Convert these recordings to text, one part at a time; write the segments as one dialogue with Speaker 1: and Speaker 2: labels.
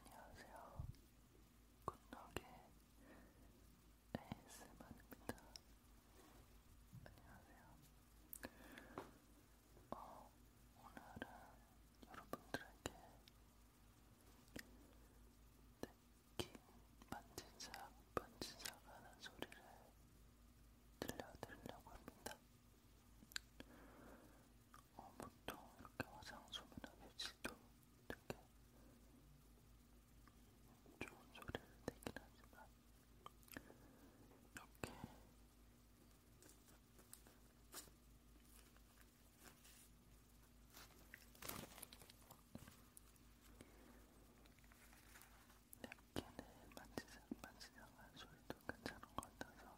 Speaker 1: 안녕하세요. 굿노게 ASMR입니다. 안녕하세요. 어, 오늘은 여러분들에게 뜯긴 네, 반지작 반지작 하는 소리를 들려드리려고 합니다. 어, 보통 이렇게 화장솜이나 매실도 되게 좋은 소리를 내긴 하지만 이렇게 냅킨을 만지작 만지작한 소리도 괜찮은 것 같아서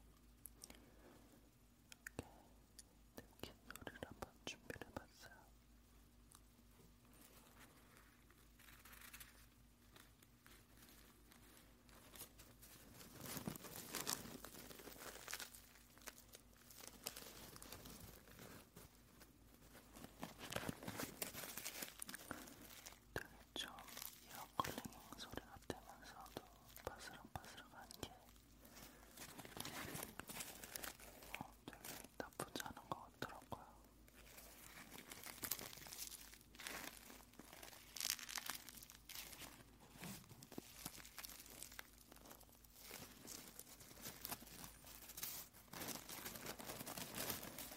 Speaker 1: 이렇게 냅킨 소리를 한번 준비를 해봤어요. 되게 좀 이어 컬링 소리가 되면서도 바스락바스락한 게 어, 되게 나쁘지 않은 것 같더라고요.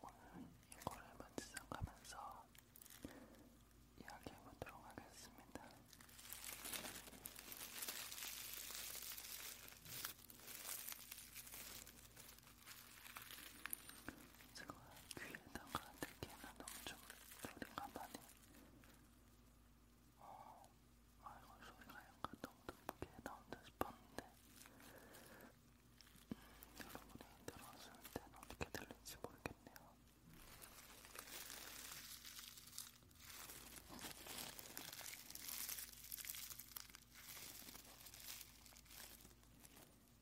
Speaker 1: 오늘 이거를 만지작하면서 이야기해보도록 하겠습니다. 제가 귀에다가 듣기에는 너무 좀 소리가 많이 어, 아, 이거 소리가 약간 너무 높게 나온다 싶었는데, 음, 여러분이 들었을 때는 어떻게 들릴지 모르겠네요.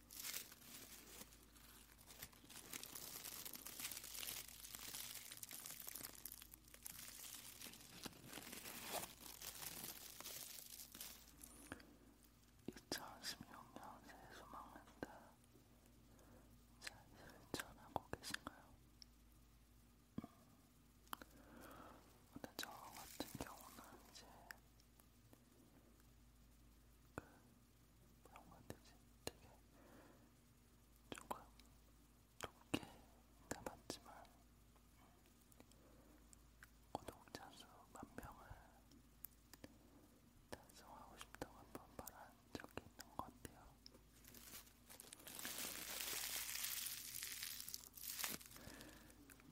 Speaker 1: 2016년 새해 소망한다. 잘 실천하고 계신가요? 음. 근데 저 같은 경우는 이제 그 뭐라고 해야 되지? 되게 조금 높게 담았지만 음, 구독자 수 만명을 달성하고 싶다고 한번 말한 적이 있는 것 같아요.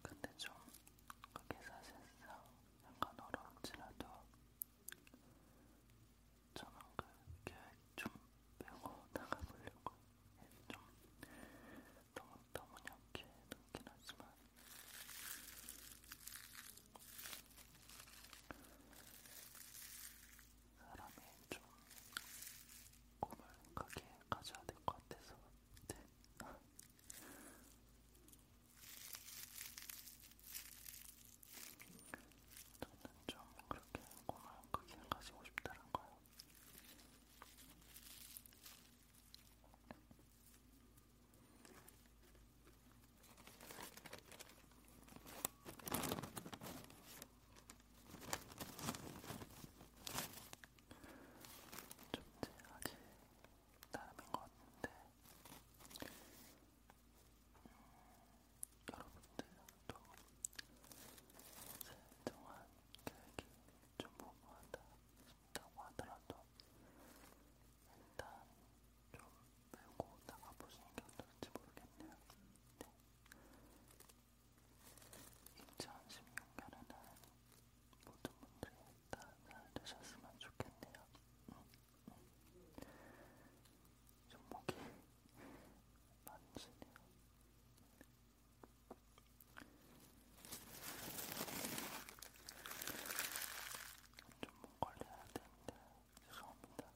Speaker 1: 근데 좀 그게 사실상 약간 어렵지라도 저는 그 계획 좀 빼고 나가보려고 좀 너무 너무 약해 놓긴 하지만 사람이 좀 꿈을 크게 가져야 될 것 같아서 네. 저는 좀 그렇게 고마운 크기를 가지고 싶다는 거예요. 존재하게 나름인 것 같은데 음, 여러분들도 세정한 계획이 좀 모호하다 싶다고 하더라도 일단 좀 메고 나가보시는 게 어떨지 모르겠네요. 네. 2016년에는 모든 분들이 다 잘 되셨으면 좋겠네요. 좀 음. 목이 만지네요. 좀목 걸려야 되는데 죄송합니다.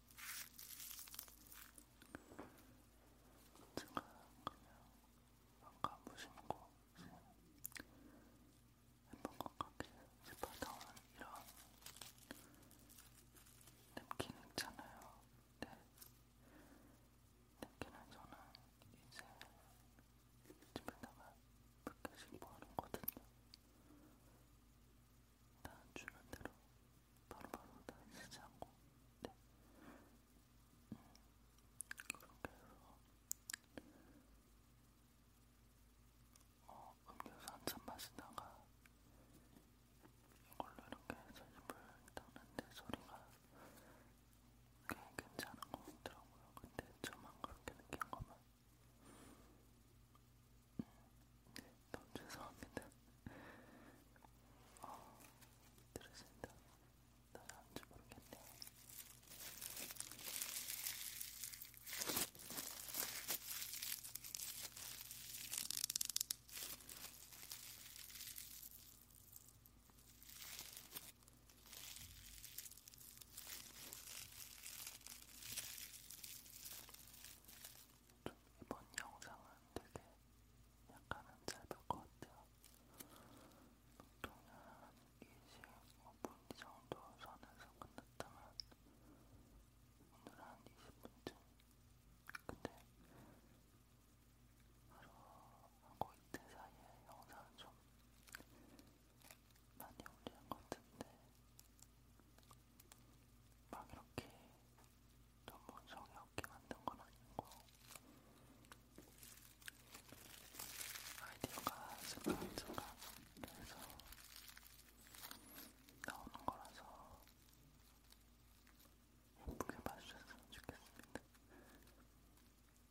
Speaker 1: 지금 그냥 아까 무심코 예쁜 것 같게 짚어다운 이런 냅킨 있잖아요. 네. 냅킨은 저는 이제 집에다가 몇 개씩 모아놓거든요. 다 주는 대로 바로바로 다 쓰지 않고 네. 음, 그렇게 해서 어, 음료수 한 잔 마시다가 이걸로 이렇게 해서 입을 닦는데 소리가 꽤 괜찮은 것 같더라고요. 근데 저만 그렇게 느낀 거면 너무 죄송합니다. 어, 들으신다. 나안줄 모르겠네. 좀 이번 영상은 되게 약간은 짧을 것 같아요. 보통은 25분 정도 선에서 끝났다면 오늘 한 20분쯤 근데 하루하고 이틀 사이에 영상을 좀 많이 올리는 것 같은데 막 이렇게 너무 성의 없게 만든 건 아니고 아이디어가 생각생각 해서 나오는 거라서 예쁘게 봐주셨으면 좋겠습니다.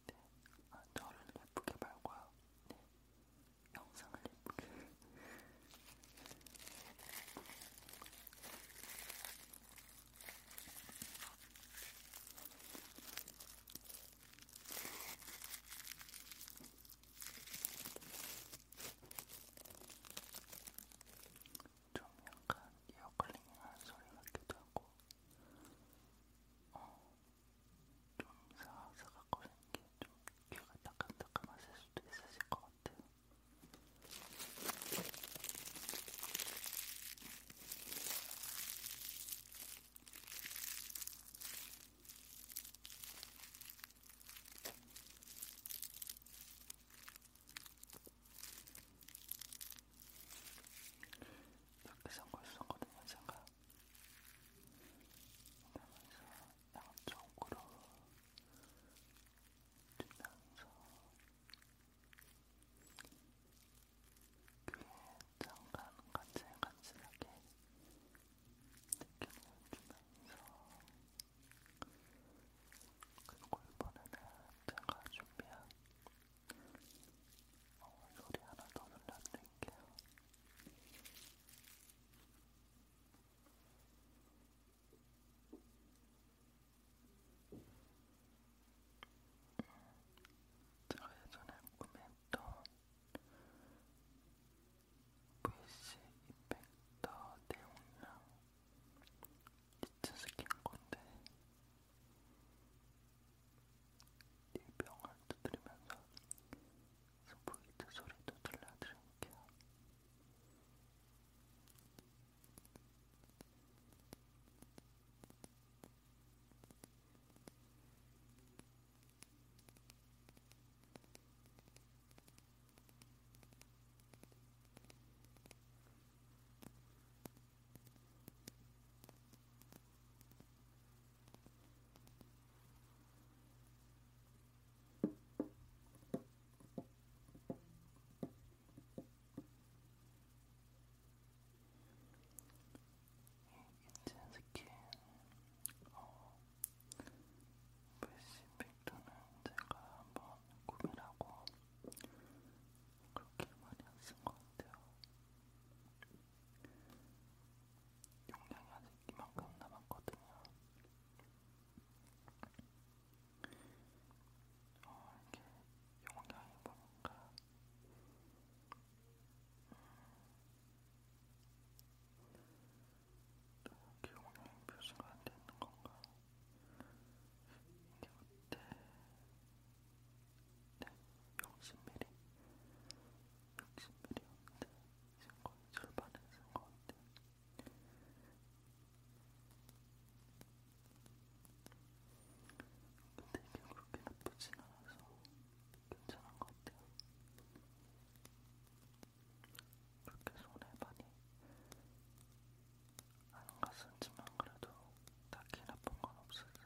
Speaker 1: 네, 아, 저를 예쁘게 말고요. 네, 영상을 예쁘게 좀 약간 이어클링한 소리 같기도 하고 어, 좀 사사각거리는 게좀 귀가 따끔따끔하실 수도 있으실 것 같아요. 이렇게 선글 썼거든요, 제가. 그러면서 양쪽으로 주면서 귀에 잠깐 간질간질하게 느낌을 주면서 그리고 이번에는 제가 준비한 어, 소리 하나 더 들려드릴게요. 제가 예전에 구매했던 VC 이펙터 대용량 니트 스킨 건데 이 병을 두드리면서 소프이트 소리도 들려드릴게요. 인첸 스킨 어, 브래시 팩토는 제가 한번 구매하고 그렇게 많이 안쓴것 같아요. 용량이 아직 이만큼 남았거든요. 어, 이게 용량이 뭔가 음, 이렇게 용량이 표시가 안 되는 건가? 이게 어때? 네, 60mm 60mm였는데 거의 절반은 쓴것 같아요. 근데 이게 그렇게 나쁘진 않아서 괜찮은 것 같아요. 그렇게 손에 많이 안 갔었지만 그래도 딱히 나쁜 건 없었어요.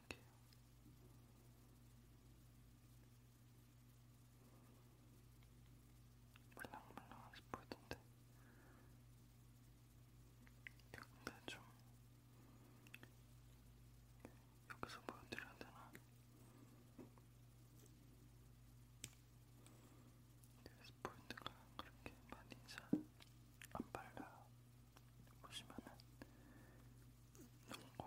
Speaker 1: 보여드릴게요. 물랑물랑한 스포인데 근데 좀 여기서 보여드려야 되나? 네, 스포인트가 그렇게 많이 잘안 발라요. 보시면은 농구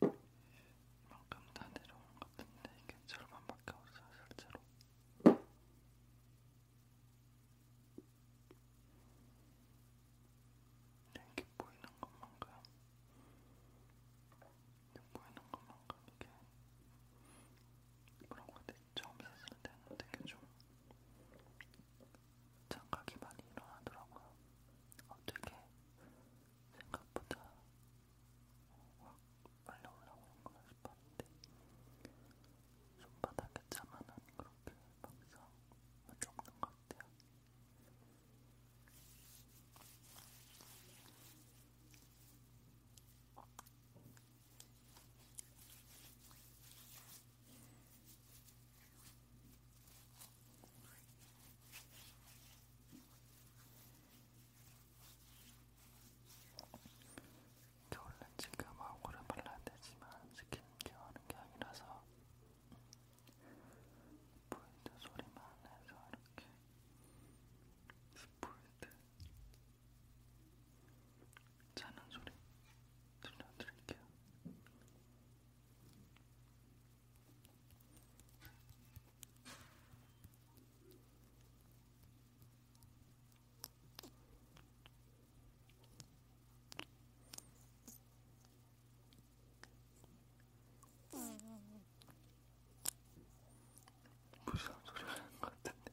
Speaker 1: 이만큼 다 내려온 것 같은데 이게 절반밖에 없어요 실제로 네, 이렇게 보이는 것만큼 이렇게 보이는 것만큼 이게 뭐라고 해야 되지? 처음 샀을 때는 되게 좀 장각이 많이 일어나더라고요. 어, 되게 생각보다 확 빨리 올라오는구나 싶었는데 손바닥에 차만은 그렇게 막상 없는 것 같아요. 겨울엔 지금 얼굴을 발라야 되지만 스킨케어 하는 게 아니라서 스포일드 소리만 해서 이렇게 스포일드 자는 소리 들려드릴게요. 무슨 소리 하는 것 같은데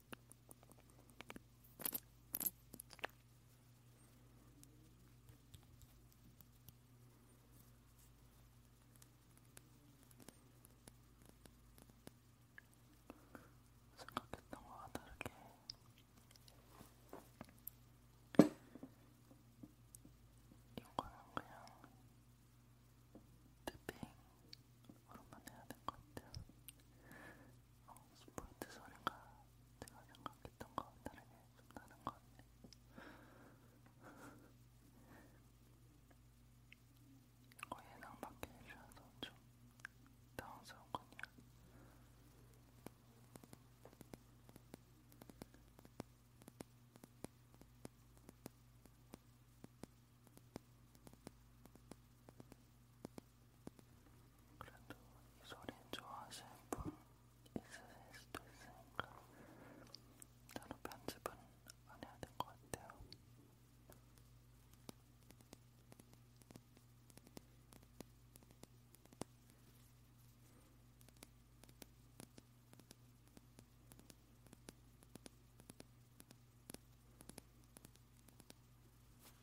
Speaker 1: 생각했던 거와 다르게 이거는 그냥 탭핑으로만 해야 될 것 같아요. 어, 스포이트 소리가 내가 생각했던 거와 다르게 좀 나는 것 같네. 어, 예상 밖에 일이라서 좀 당황스럽군요. 그래도 이 소리 좋아하시는 분 있으실 수도 있으니까 따로 편집은 안 해야 될 것 같아요.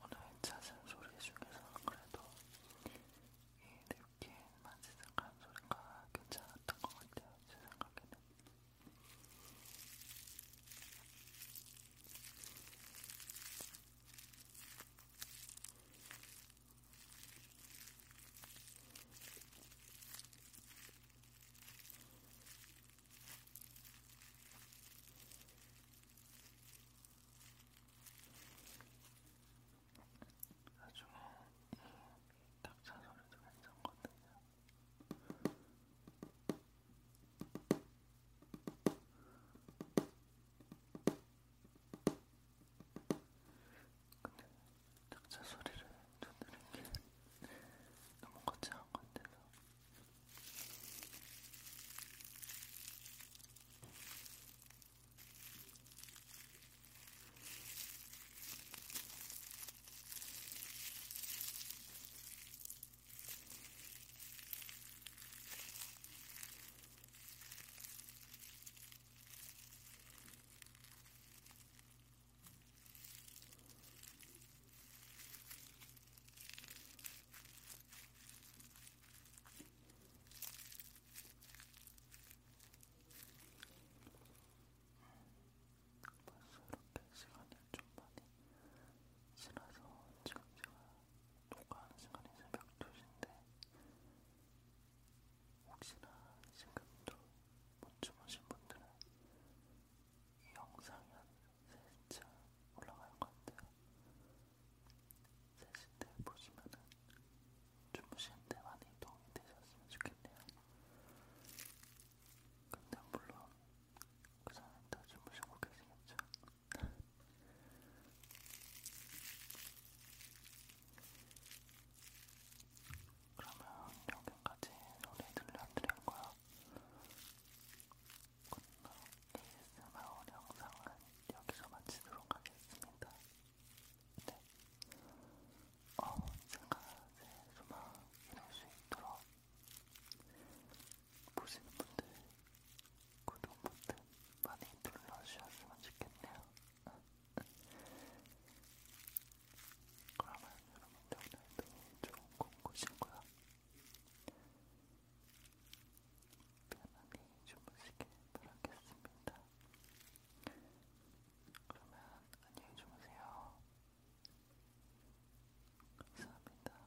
Speaker 1: 오늘 찾은 소리 중에서 그래도 이렇게 만지작한 소리가 괜찮았던 것 같아요. 제 생각에는. 나중에 이 닭차 소리도 괜찮거든요. 근데 작자 소리를 듣는 게 너무 거창한 것 같아서 음, 벌써 이렇게 시간이 좀 많이 지나서 지금 제가 녹화하는 시간이 새벽 2시인데 혹시나 지금도 못 주무신 분들은 이 영상이 한 3시쯤 올라갈 건데요 3시인데 보시면은 주무시는데 많이 도움이 되셨으면 좋겠네요 근데 물론 그 전에 다 주무시고 계시겠죠? 그러면 여기까지 노래 들려드릴 거야. 오늘 ASMR 영상은 여기서 마치도록 하겠습니다. 네. 어, 제가 제 소망 이룰 수 있도록 보시는 분들 구독 버튼 많이 눌러주셨으면 좋겠네요. 그러면 여러분들 오늘도 좋은 꿈 꾸시고요. 편안히 주무시길 바라겠습니다. 그러면 안녕히 주무세요. 감사합니다.